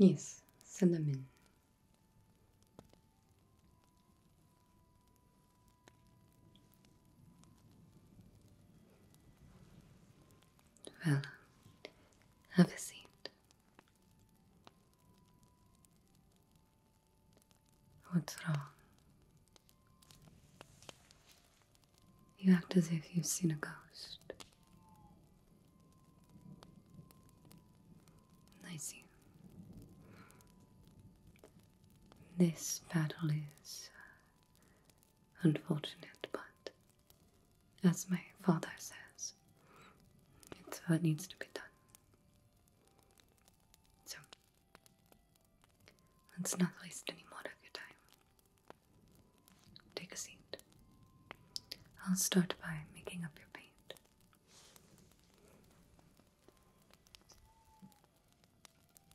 Yes, cinnamon. Well, have a seat. What's wrong? You act as if you've seen a ghost. I see. This battle is Unfortunate, but as my father says, it's what needs to be done. So, let's not waste any more of your time. Take a seat. I'll start by making up your paint.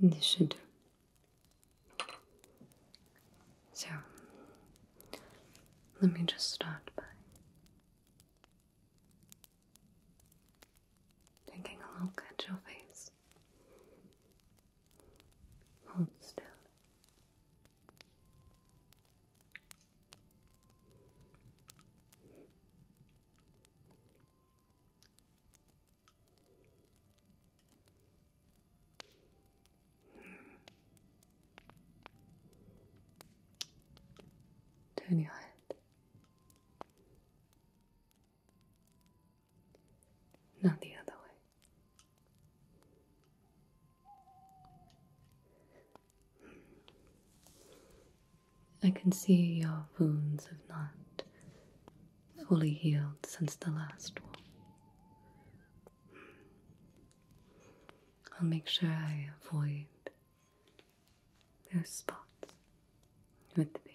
This should So, let me just start by taking a look at your face. Hold still. Turn your head. Not the other way. I can see your wounds have not fully healed since the last one. I'll make sure I avoid those spots with the paint.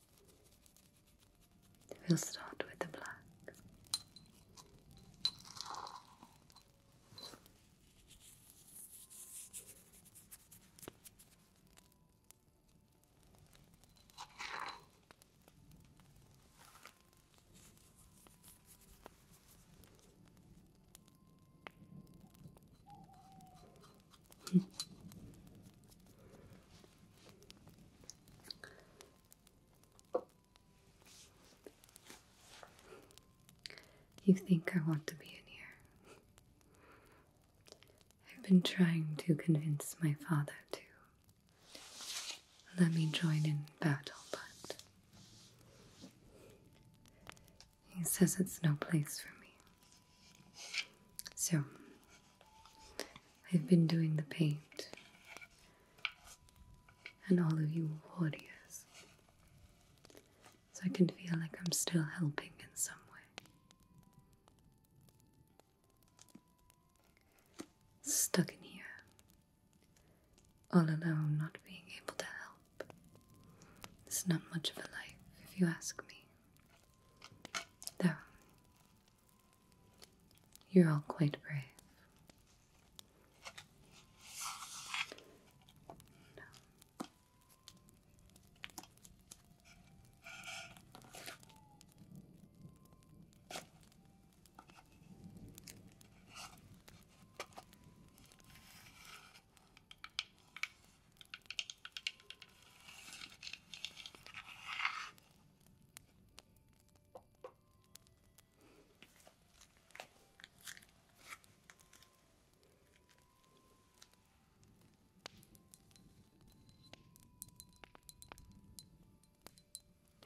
We'll start with the black you think I want to be in here? I've been trying to convince my father to let me join in battle, but he says it's no place for me. So, I've been doing the paint, and all of you warriors, so I can feel like I'm still helping in some way. Stuck in here, all alone, not being able to help. It's not much of a life, if you ask me. Though, you're all quite brave.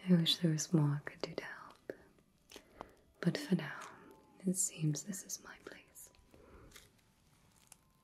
I wish there was more I could do to help, but for now, it seems this is my place.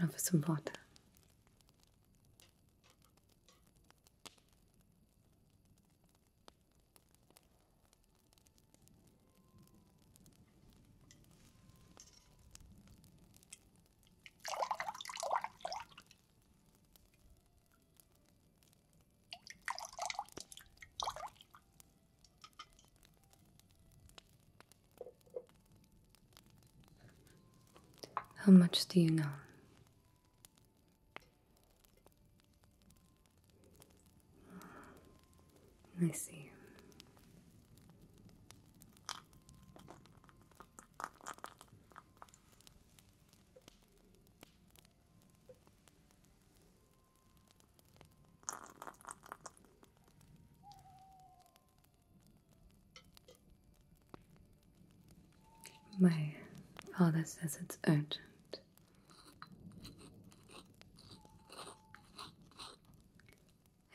Now for some water. How much do you know? I see. My father says it's urgent it.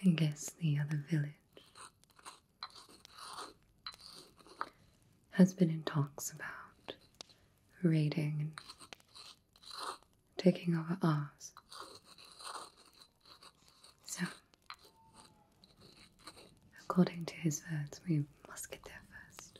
I guess the other village has been in talks about raiding and taking over ours. So, according to his words, we must get there first.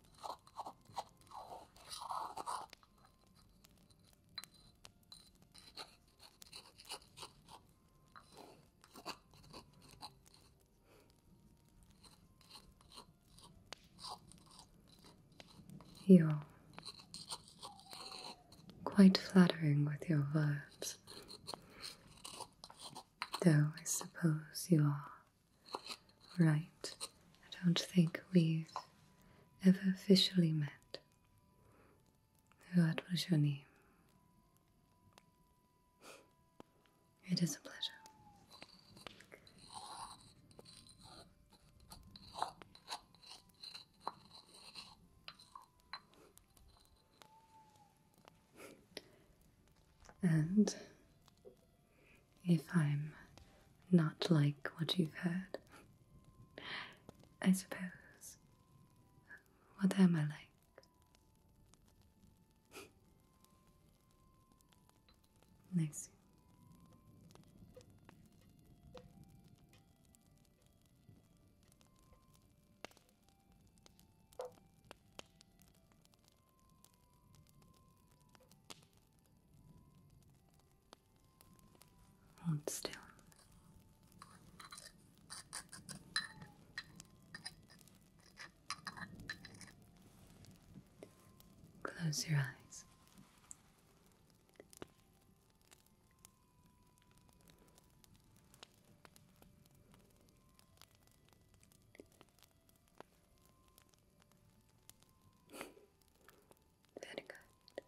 You're quite flattering with your words, though I suppose you are Right, I don't think we've ever officially met. What was It is a pleasure and if I'm not like what you've heard, I suppose, what am I like? nice. Hold still. Close your eyes. Very good.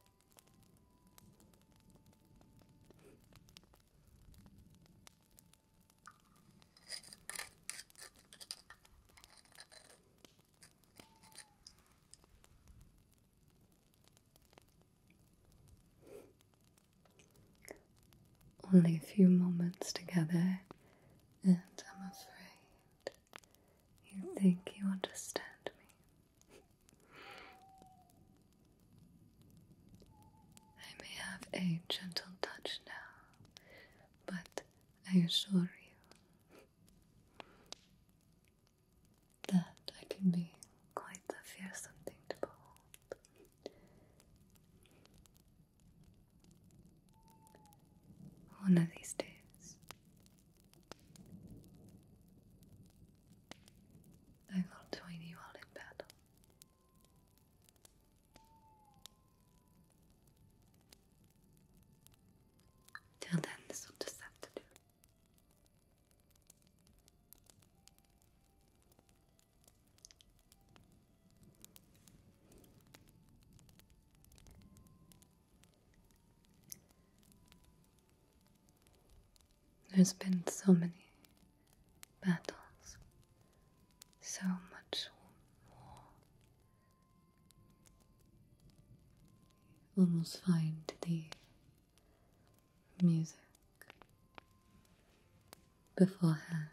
Only a few moments together and I'm afraid you think you understand me. I may have a gentle touch now, but I assure you that I can be quite a fearsome thing to behold. One of these days, I will join you all in battle. Till then, this will just have to do. There's been so many battles, so much war. You almost find the music beforehand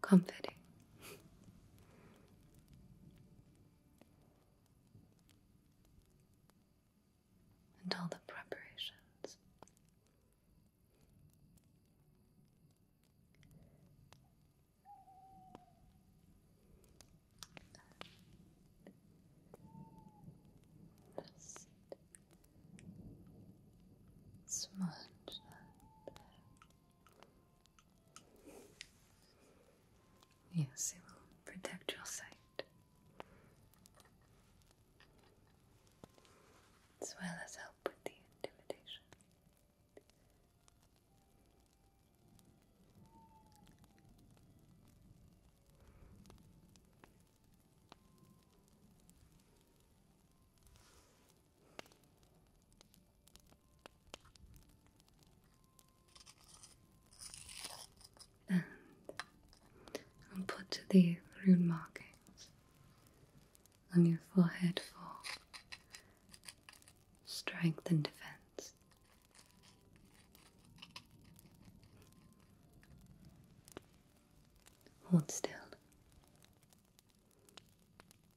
comforting. and the preparations. just smudge that Yes, it will protect your sight as well as help with the intimidation. And put to the rune markings on your forehead for strength and defense. Hold still.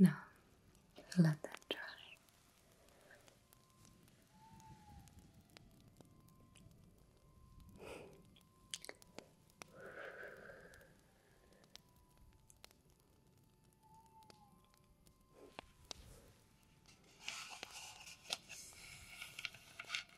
Now, let that dry.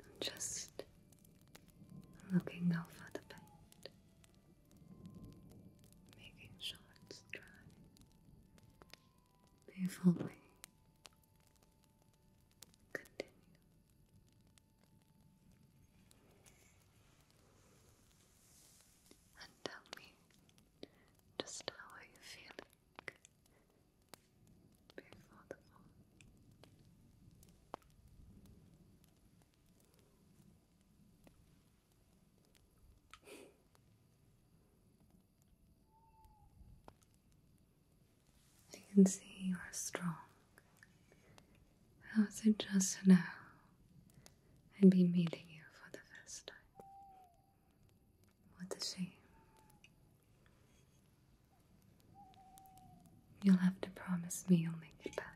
I'm just looking over the paint, making sure it's dry before continue. And tell me just how are you feeling I can see you are strong. How is it just now? I'd be meeting you for the first time. What to say? You'll have to promise me you'll make it back.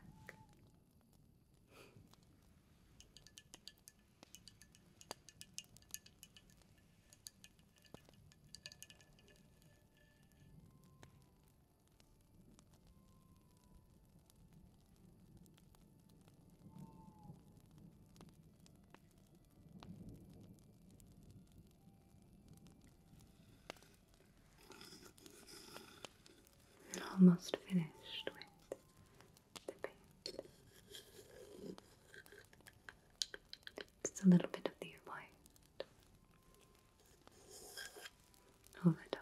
Almost finished with the paint. Just a little bit of the white over top.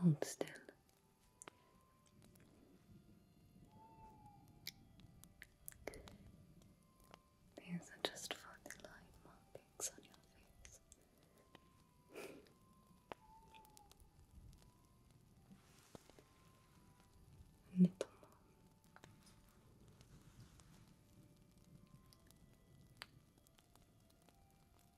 Hold still. These are just for the markings on your face. little more.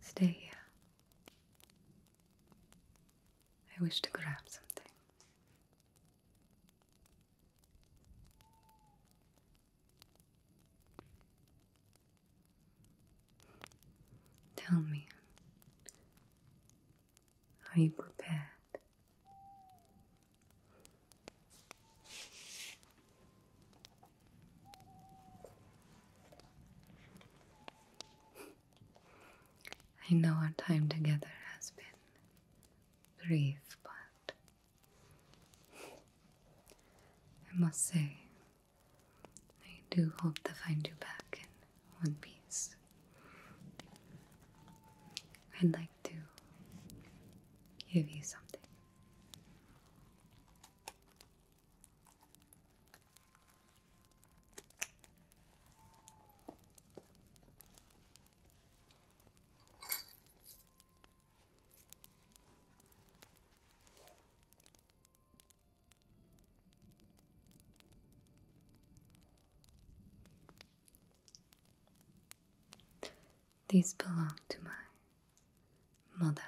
Stay here. I wish to grab something. Tell me, are you prepared? I know our time together has been brief, but I must say, I do hope to find you back in one piece. I'd like to give you something. These belong to my mother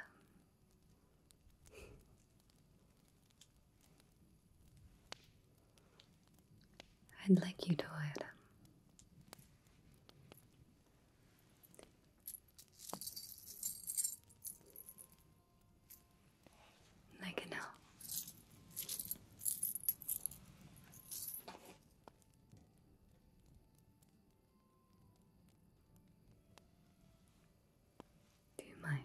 I'd like you to wear them. I can help. Do you mind?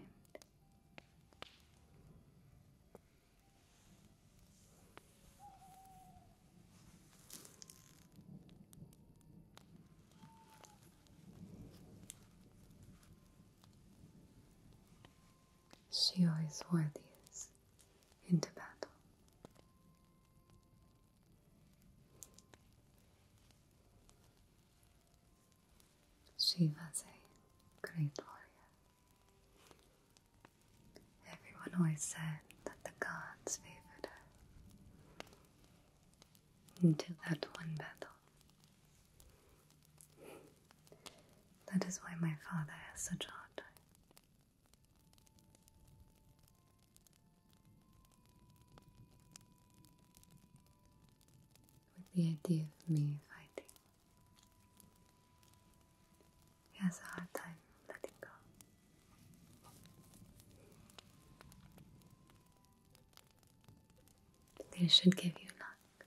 She always wore these into battle. She was a great warrior. Everyone always said that the gods favored her. Until that one battle. That is why my father has such a hard time with the idea of me fighting. He has a hard time letting go. This should give you luck.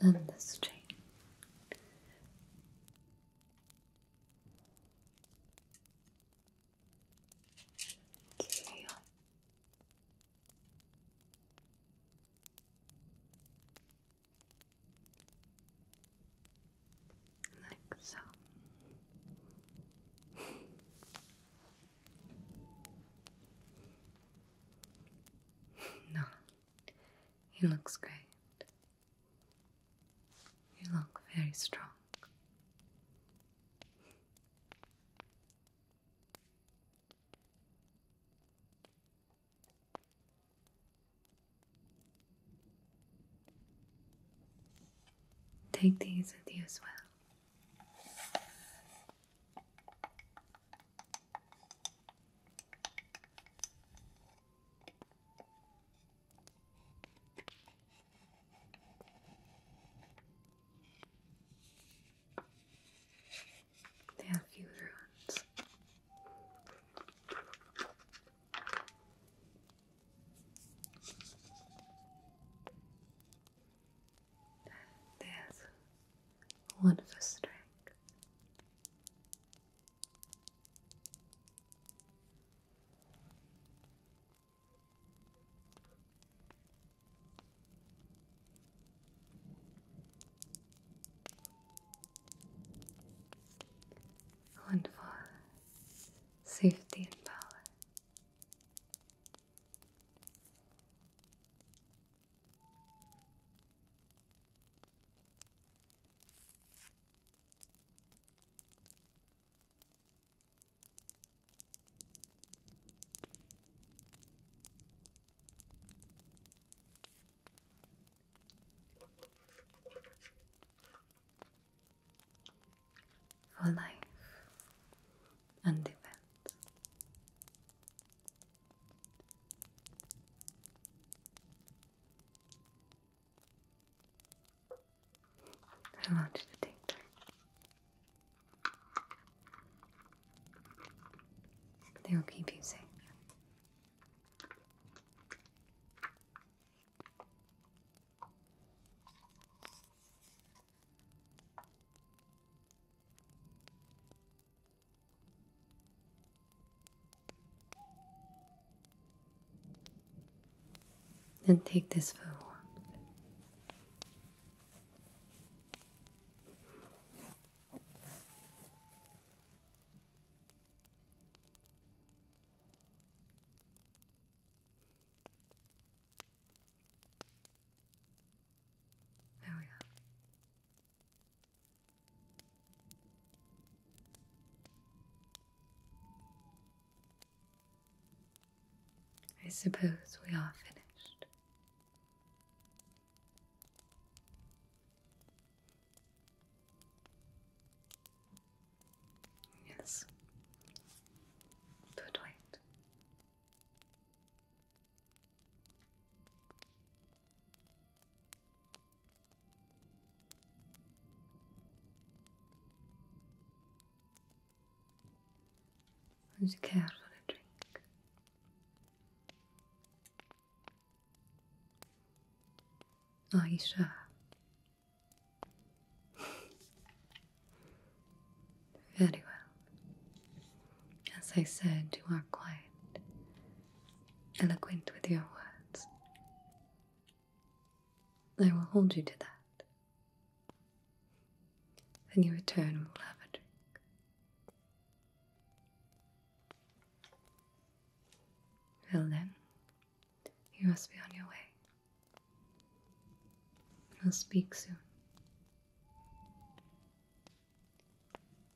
and this chain. Carry Like so no, he looks great. You look very strong. Take these with you as well. They have few ruins. There's one for strength. One for safety and power. For life and event, I want you to They will keep you safe. And take this for warmth. There we are. I suppose we are finished. Yes, but wait. Would you care drink? Are you sure? Very well. As I said, you are quiet eloquent with your words. I will hold you to that. Then you return and we'll have a drink. Well then, you must be on your way. We'll speak soon.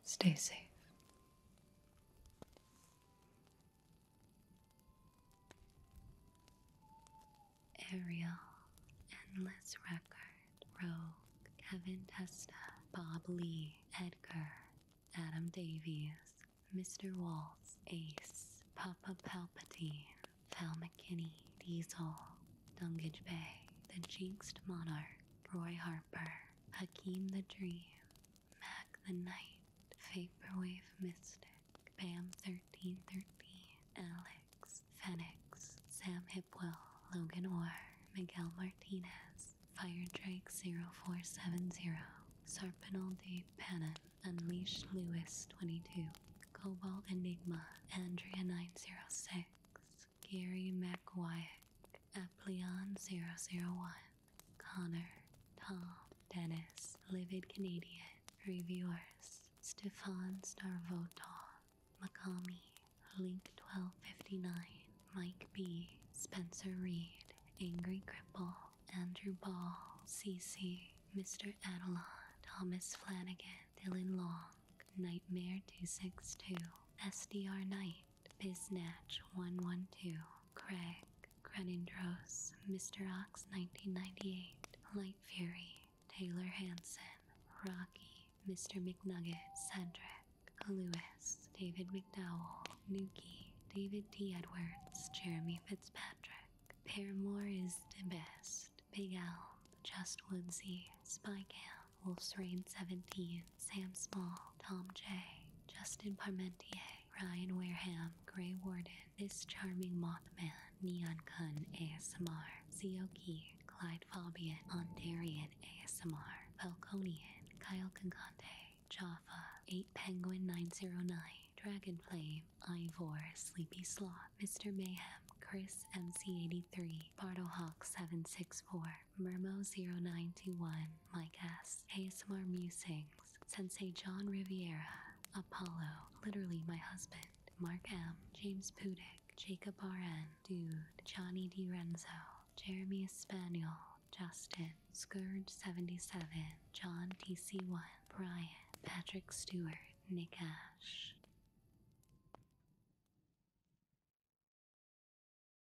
Stay safe. Ariel, Endless Record, Rogue, Kevin Testa, Bob Lee, Edgar, Adam Davies, Mr. Waltz, Ace, Papa Palpatine, Val McKinney, Diesel, Dungage Bay, The Jinxed Monarch, Roy Harper, Hakeem the Dream, Mac the Knight, Vaporwave Mystic, Bam 1313, Alex, Fenix, Sam Hipwell, Logan Orr, Miguel Martinez, Fire Drake 0470, Sarpinal de Pannon, Unleashed Lewis 22, Cobalt Enigma, Andrea 906, Gary McWyack, Apleon001, Connor, Tom, Dennis, Livid Canadian, Reviewers, Stefan Starvotov, Makami, Link1259, Mike B, Spencer Reed, Angry Cripple, Andrew Ball, CC, Mr. Adelon, Thomas Flanagan, Dylan Long, Nightmare262, SDR Knight, Biznatch112, Craig, Crenindros, Mr. Ox 1998, Light Fury, Taylor Hanson, Rocky, Mr. McNugget, Cedric, Lewis, David McDowell, Nuki, David T. Edwards, Jeremy Fitzpatrick, Paramore is the best, Big Al Just Woodsey Spy Camp, Wolf's Rain 17, Sam Small, Tom J, Justin Parmentier, Ryan Wareham, Grey Warden, This Charming Mothman, Neon Kun ASMR, Zioki, Clyde Fabian, Ontarian ASMR, Falconian, Kyle Concante, Jaffa, 8 Penguin 909, Dragon Flame, Ivor, Sleepy Sloth, Mr. Mayhem, Chris MC83, Hawk 764 Mirmo Mermo091, Mike S, ASMR Musings, Sensei John Riviera, Apollo, literally my husband, Mark M, James Pudick, Jacob RN, Dude, Johnny D Renzo Jeremy Espanol, Justin, Scourge77, John TC1, Brian, Patrick Stewart, Nikash.